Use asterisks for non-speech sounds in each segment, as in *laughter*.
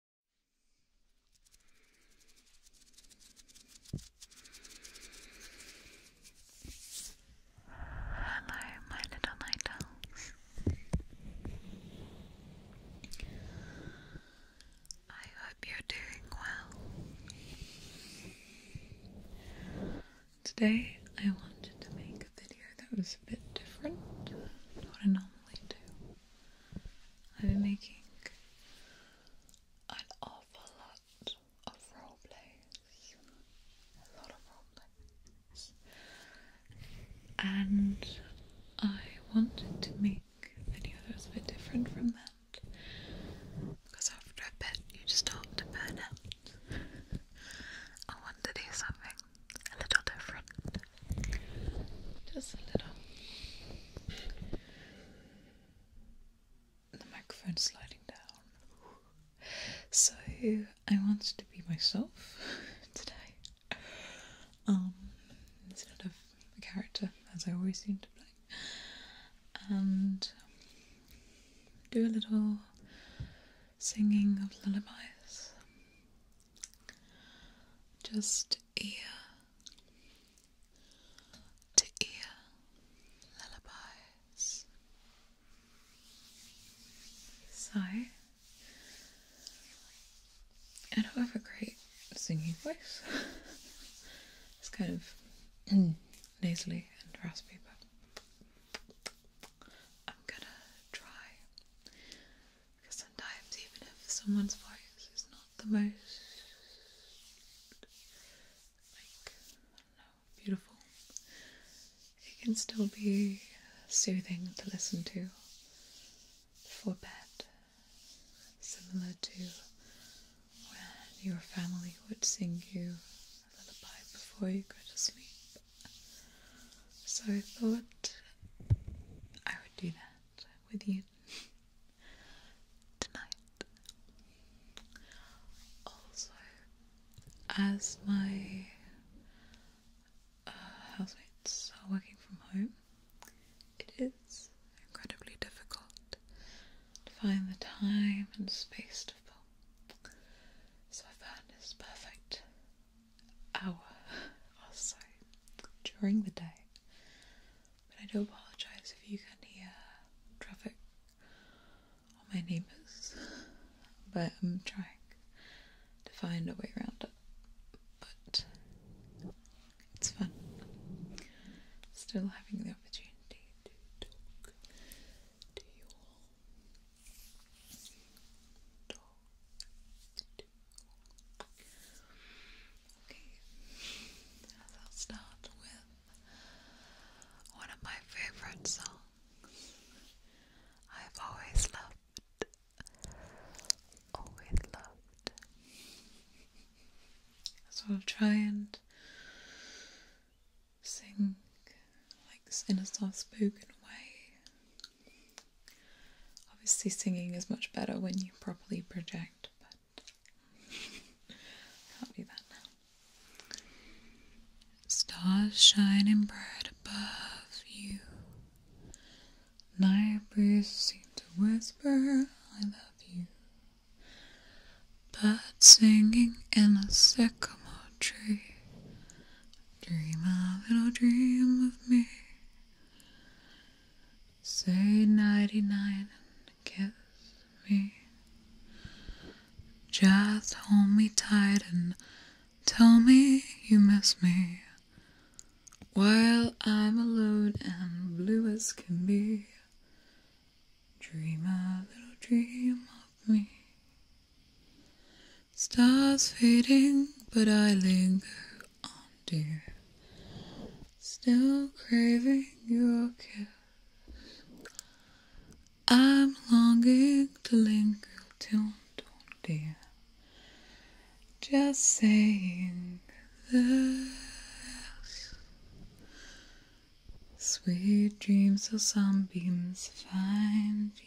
Hello, my little night owls. I hope you're doing well. Today, I wanted to make a video that was a bit different to what I normally do. I've been making an awful lot of role plays, a lot of role and I wanted to make a video that was a bit different from that because after a bit you just start to burn out. I wanted to do something a little different. Just a little. The microphone's sliding down. So I wanted to be myself *laughs* today. Um instead of a character as I always seem to play. And do a little singing of lullabies. Just ear to ear lullabies. So, I don't have a great singing voice. it's kind of *clears throat* nasally and raspy, but I'm gonna try. Because sometimes, even if someone's voice is not the most like I don't know, beautiful, it can still be soothing to listen to for bed, similar to when your family would sing you a lullaby before you go to sleep. So I thought I would do that with you tonight. Also, as my uh, housemates are working from home, it is incredibly difficult to find the time and space to film. So I found this perfect hour or oh, during the day. But I do apologise if you can hear traffic or my neighbours, but I'm trying to find a way around it. But it's fun. Still having the opportunity to talk to you all. Okay, so I'll start with one of my favorite songs. I've always loved, always loved. So I'll try and sing like in a soft spoken way. Obviously, singing is much better when you properly project, but I'll *laughs* do that now. Stars shining bright above you. Night breeze seems to whisper, I love you. But singing in a sycamore tree. Dream a little oh, dream of me. Say ninety-nine and kiss me. Just hold me tight and tell me you miss me. While I'm alone and blue as can be. Dream a little oh, dream of me. Stars fading, but I linger on, dear. Still craving your kiss. I'm longing to linger till dawn, dear. Just saying this. Sweet dreams of sunbeams find you.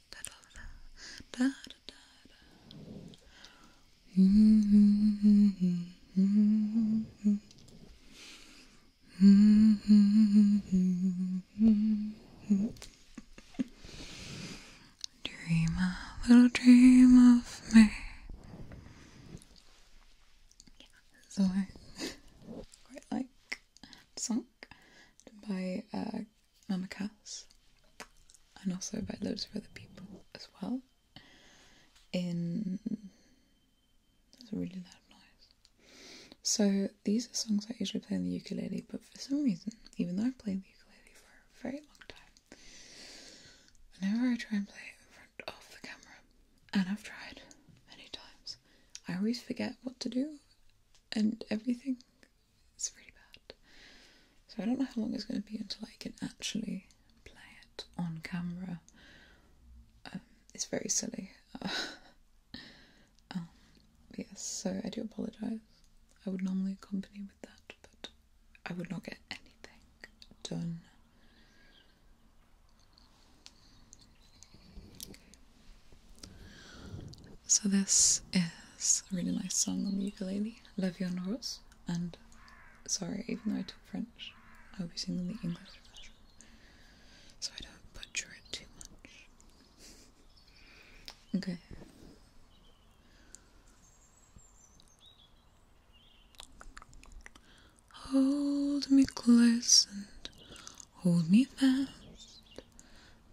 Dream a little dream of me. So I *laughs* quite like song by uh Mama Cass and also by loads of other people as well. In that's really loud noise. So these are songs I usually play on the ukulele, but for some reason, even though I've played the ukulele for a very long time, whenever I try and play it in front of the camera, and I've tried many times, I always forget what to do and everything. It's really bad. So I don't know how long it's going to be until I can actually play it on camera. Um, it's very silly. *laughs* Um, yes, so I do apologise. I would normally accompany with that, but I would not get anything done. So this is a really nice song on the ukulele, Your Viande and sorry, even though I talk French, I'll be singing the English version, so I don't butcher it too much. *laughs* okay. Hold me close and hold me fast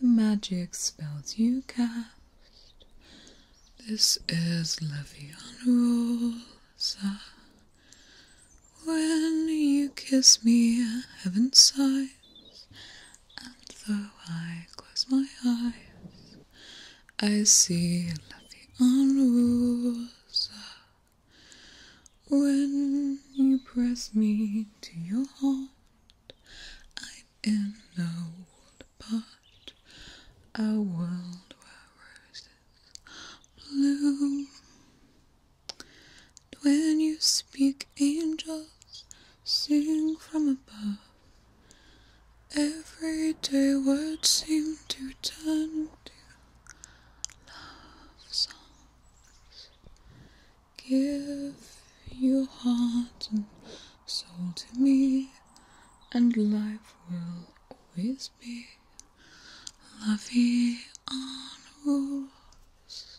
the magic spells you cast. This is Levian Rosa. When you kiss me, heaven sighs, and though I close my eyes, I see Levian Rosa. When you press me to your heart, I'm in a world apart, a world where roses bloom. when you speak, angels sing from above. Everyday words seem to turn to love songs. Give your heart and soul to me, and life will always be lovey on rules.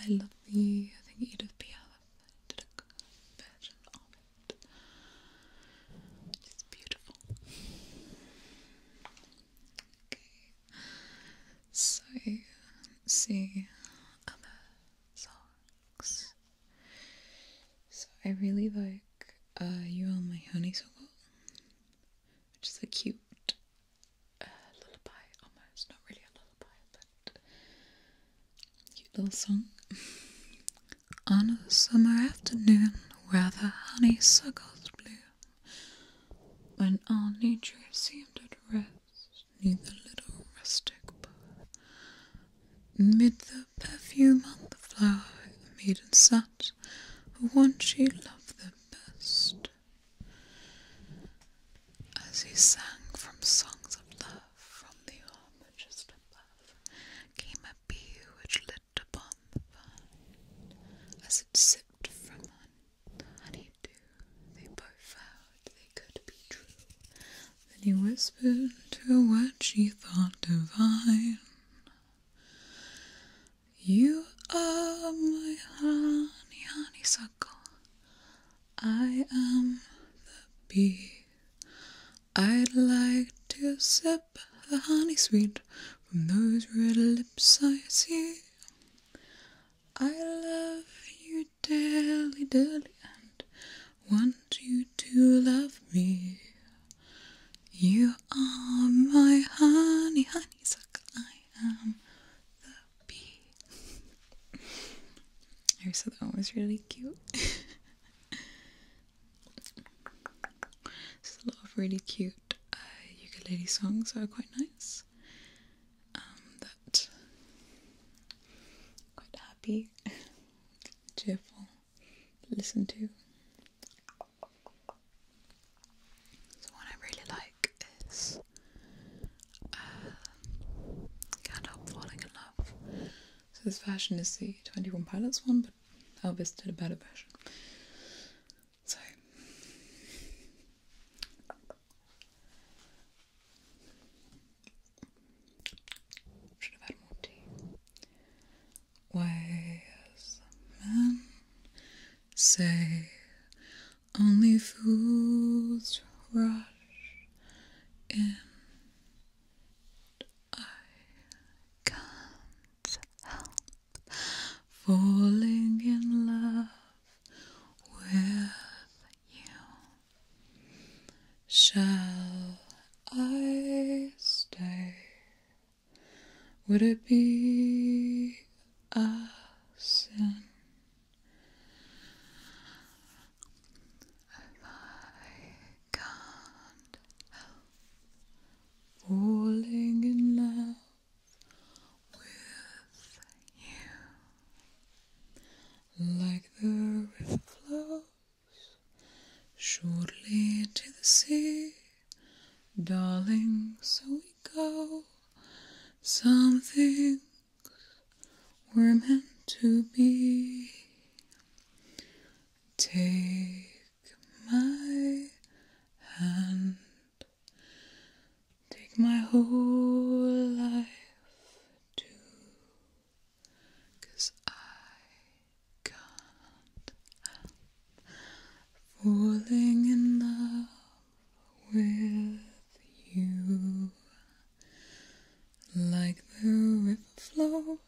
I love the, I think Edith Piaf did a version of it. It's beautiful. Okay. So, see other songs. So I really like uh, You Are My Honeysuckle which is a cute uh, lullaby almost, not really a lullaby, but cute little song. *laughs* On a summer afternoon where the honeysuckles bloom, when all nature seemed at rest, near the little rustic bough, mid the perfume of the flower, the maiden sighed that one she loved the best. As he sang from songs of love from the arbour just above, came a bee which lit upon the vine. As it sipped from on the honeydew, they both vowed they could be true. Then he whispered to her what she thought divine. You are my honey, honeysuckle. I am the bee. I'd like to sip the honey sweet from those red lips I see. I love you dearly, dearly, and want you to love me. You Oh my honey, honeysuckle. I am the bee. I said that was really cute. There's *laughs* a lot of really cute uh, ukulele songs that are quite nice. Um, that quite happy, *laughs* cheerful listen to. So one I really like is um, uh, can Falling in Love. So this version is the 21 Pilots one, but Elvis did a better version. So should have more tea. Why, wise men say only fools rush in. I can't help falling in love with you. Shall I stay would it be a sin if I can't falling in love with you like the river flows? Shortly to the sea, darling, so we go. Some things were meant to be. Take my hand, take my whole life too, I falling in love with you. Like the river flows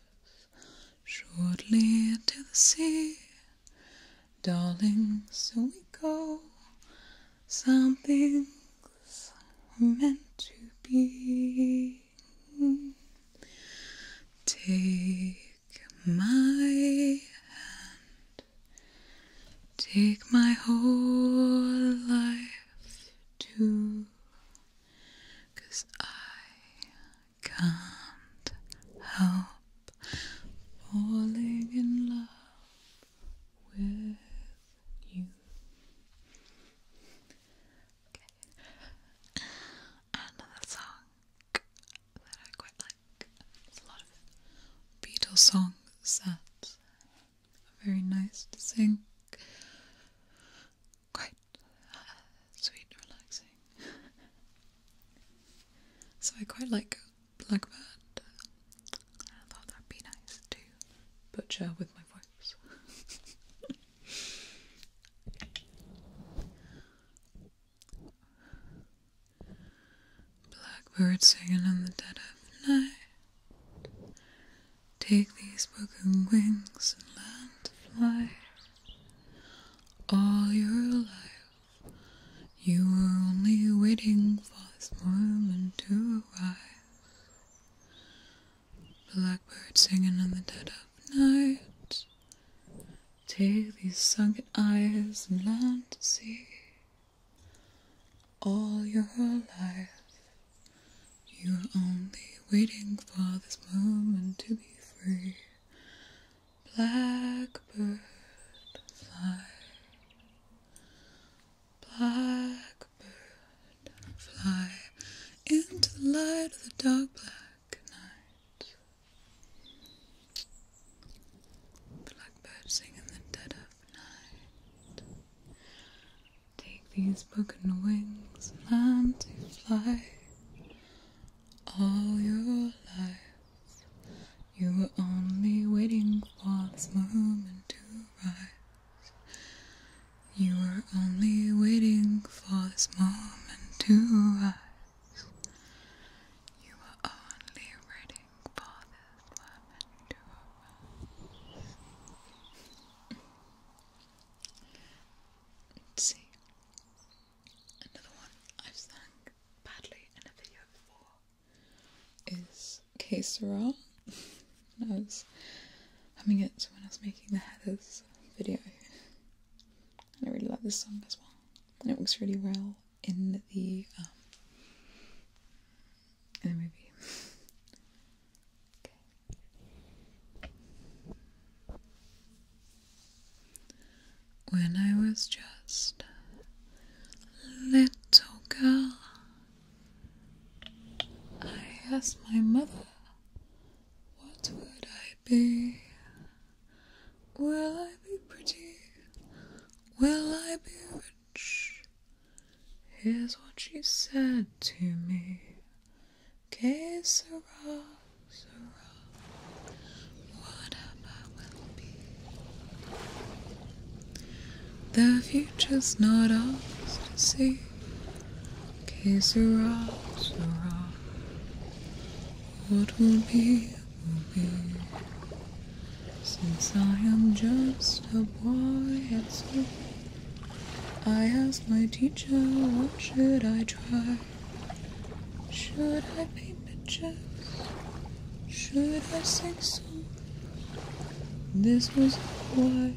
shortly into the sea, darling, so we go. Something's meant to be. Take my hand, take my whole life too, I can't help falling in love with you another song that I quite like. a lot of Beatles songs that are very nice to sing. Quite uh, sweet relaxing. *laughs* so I quite like Blackbird. I thought that'd be nice to butcher with my voice. *laughs* Blackbird singing in the dead of night. Take these broken wings and learn to fly. All your life, you were only waiting for this moment to arrive. Blackbird singing in the dead of night. Take these sunken eyes and learn to see all your life. You're only waiting for this moment to be free. Blackbird, fly. Blackbird, fly into the light of the dark black good night. sing in the dead of night. Take these broken wings, and fly. All your life, you were only waiting for this moment to rise. You were only waiting for this moment to rise. You were only waiting for this moment to rise. see. Another one I've sung badly in a video before is Kesara. I *laughs* humming it when I was making the Heathers video. And I really like this song as well. And it works really well in the um, in the movie. When I was just little girl, I asked my mother what would I be? Will I be pretty? Will I be rich? Here's what she said to me. Que sera, sera. will be? The future's not ours to see. Okay, Sarah, Sarah. What will be, will be. Since I am just a boy at school, I asked my teacher, what should I try? Should I paint pictures? Should I sing songs? This was wise.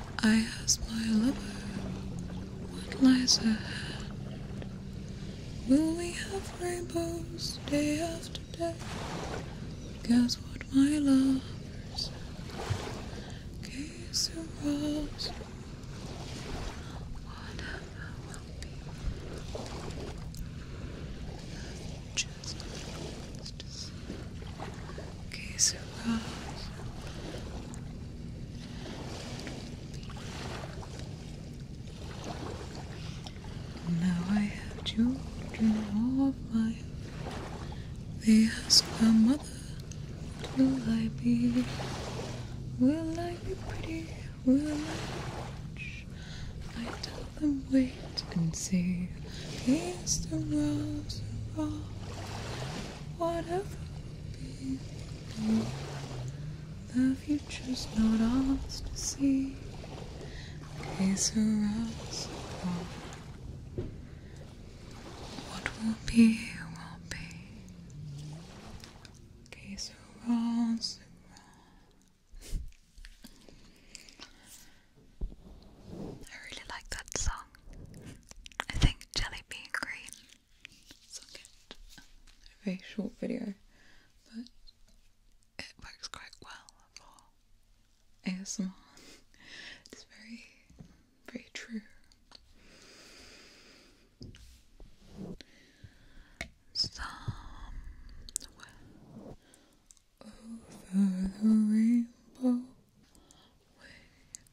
I ask my lover what lies ahead. Will we have rainbows day after day? Guess what my lover said. Case arose. Whatever will be. Just to Okay, so uh, now I have children of my They ask my mother, will I be? Will I be pretty? Will I be rich? I tell them wait and see. East and rose of all, whatever will be below. The future's not ours to see. Gaze around so far. What will be, will be. Gaze around so wrong. I really like that song. I think Jelly Bean Green sung A very short video, but it works quite well for ASMR. *laughs* It's very, very true over the rainbow, way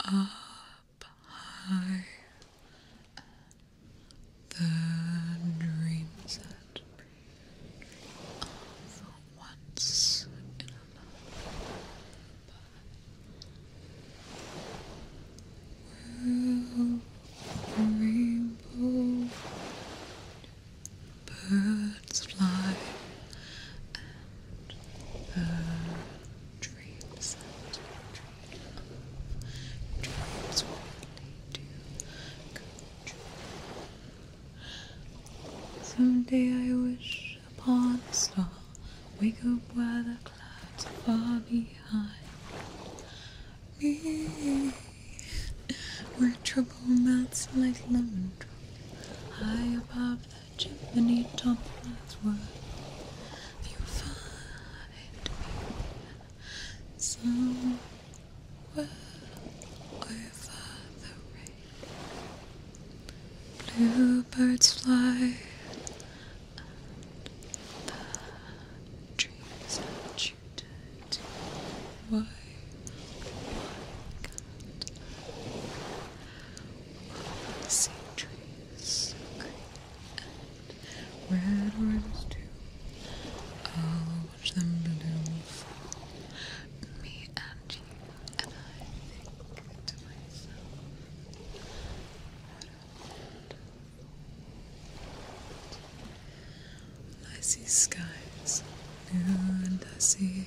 up high, the dreams that of once in a lifetime will rainbow Birds fly and her dreams that dream of dreams really do come true. Someday I wish upon a star, wake up where the clouds are far behind me. Where trouble melts like lemon High above the chimney top that's worth you find me somewhere over the rain. Bluebirds fly and the trees are tuned why? Why can't I green and red too? I'll watch them bloom for me and you, and I think to myself, I see skies, new and I see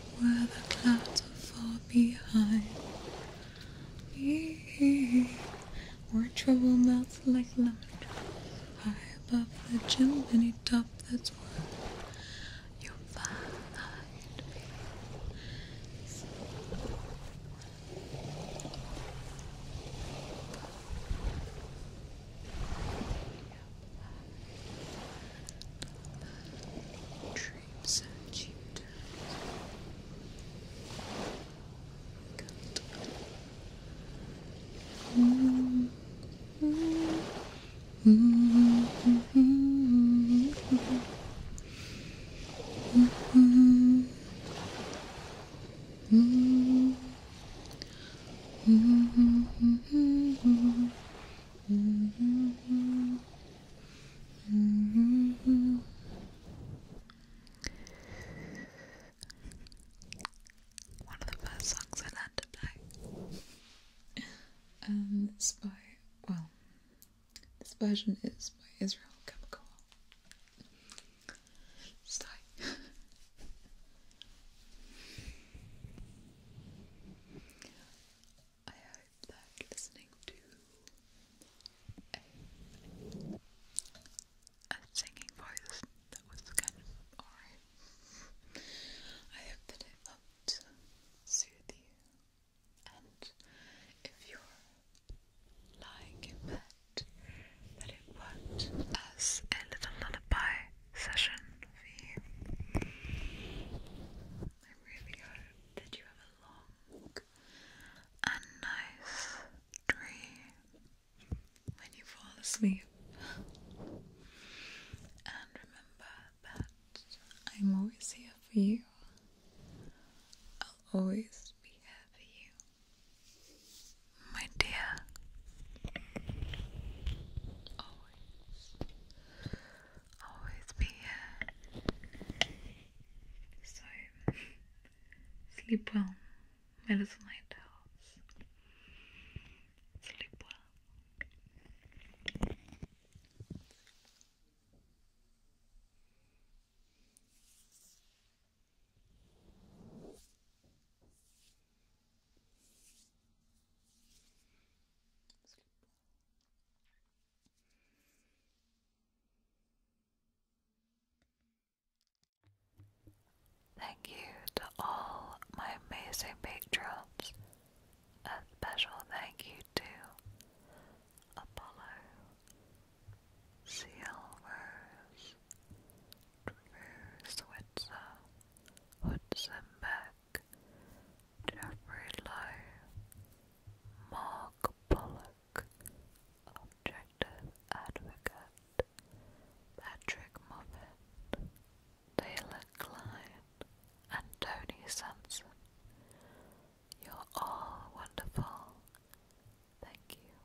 where the clouds are far behind where trouble melts like lemon drops, high above the chimney top. That's where you'll find me. Dreams and cute. Good. Mm -hmm. -hmm. One of the first songs I learned to play. *laughs* Um, it's by, well, this version is by Israel Chemical. Stay. *laughs* *laughs* I hope listening to a, singing voice that was kind of alright. I hope that it helped soothe you. And if you're lying in bed, that it worked as a little lullaby session for you. I really hope that you have a long and nice dream when you fall asleep. And remember that I'm always here for you. I'll always be here for you, my dear always, be here. So, sleep well, little night owls. Sleep well. Thank you to all my amazing patrons. A special thank you to Apollo, Seal Switzer, Hudson Beck, Jeffrey Lowe, Mark Pollock, Objective Advocate, Patrick Moffat, Taylor Klein, and Tony Sanson. You're all wonderful. Thank you.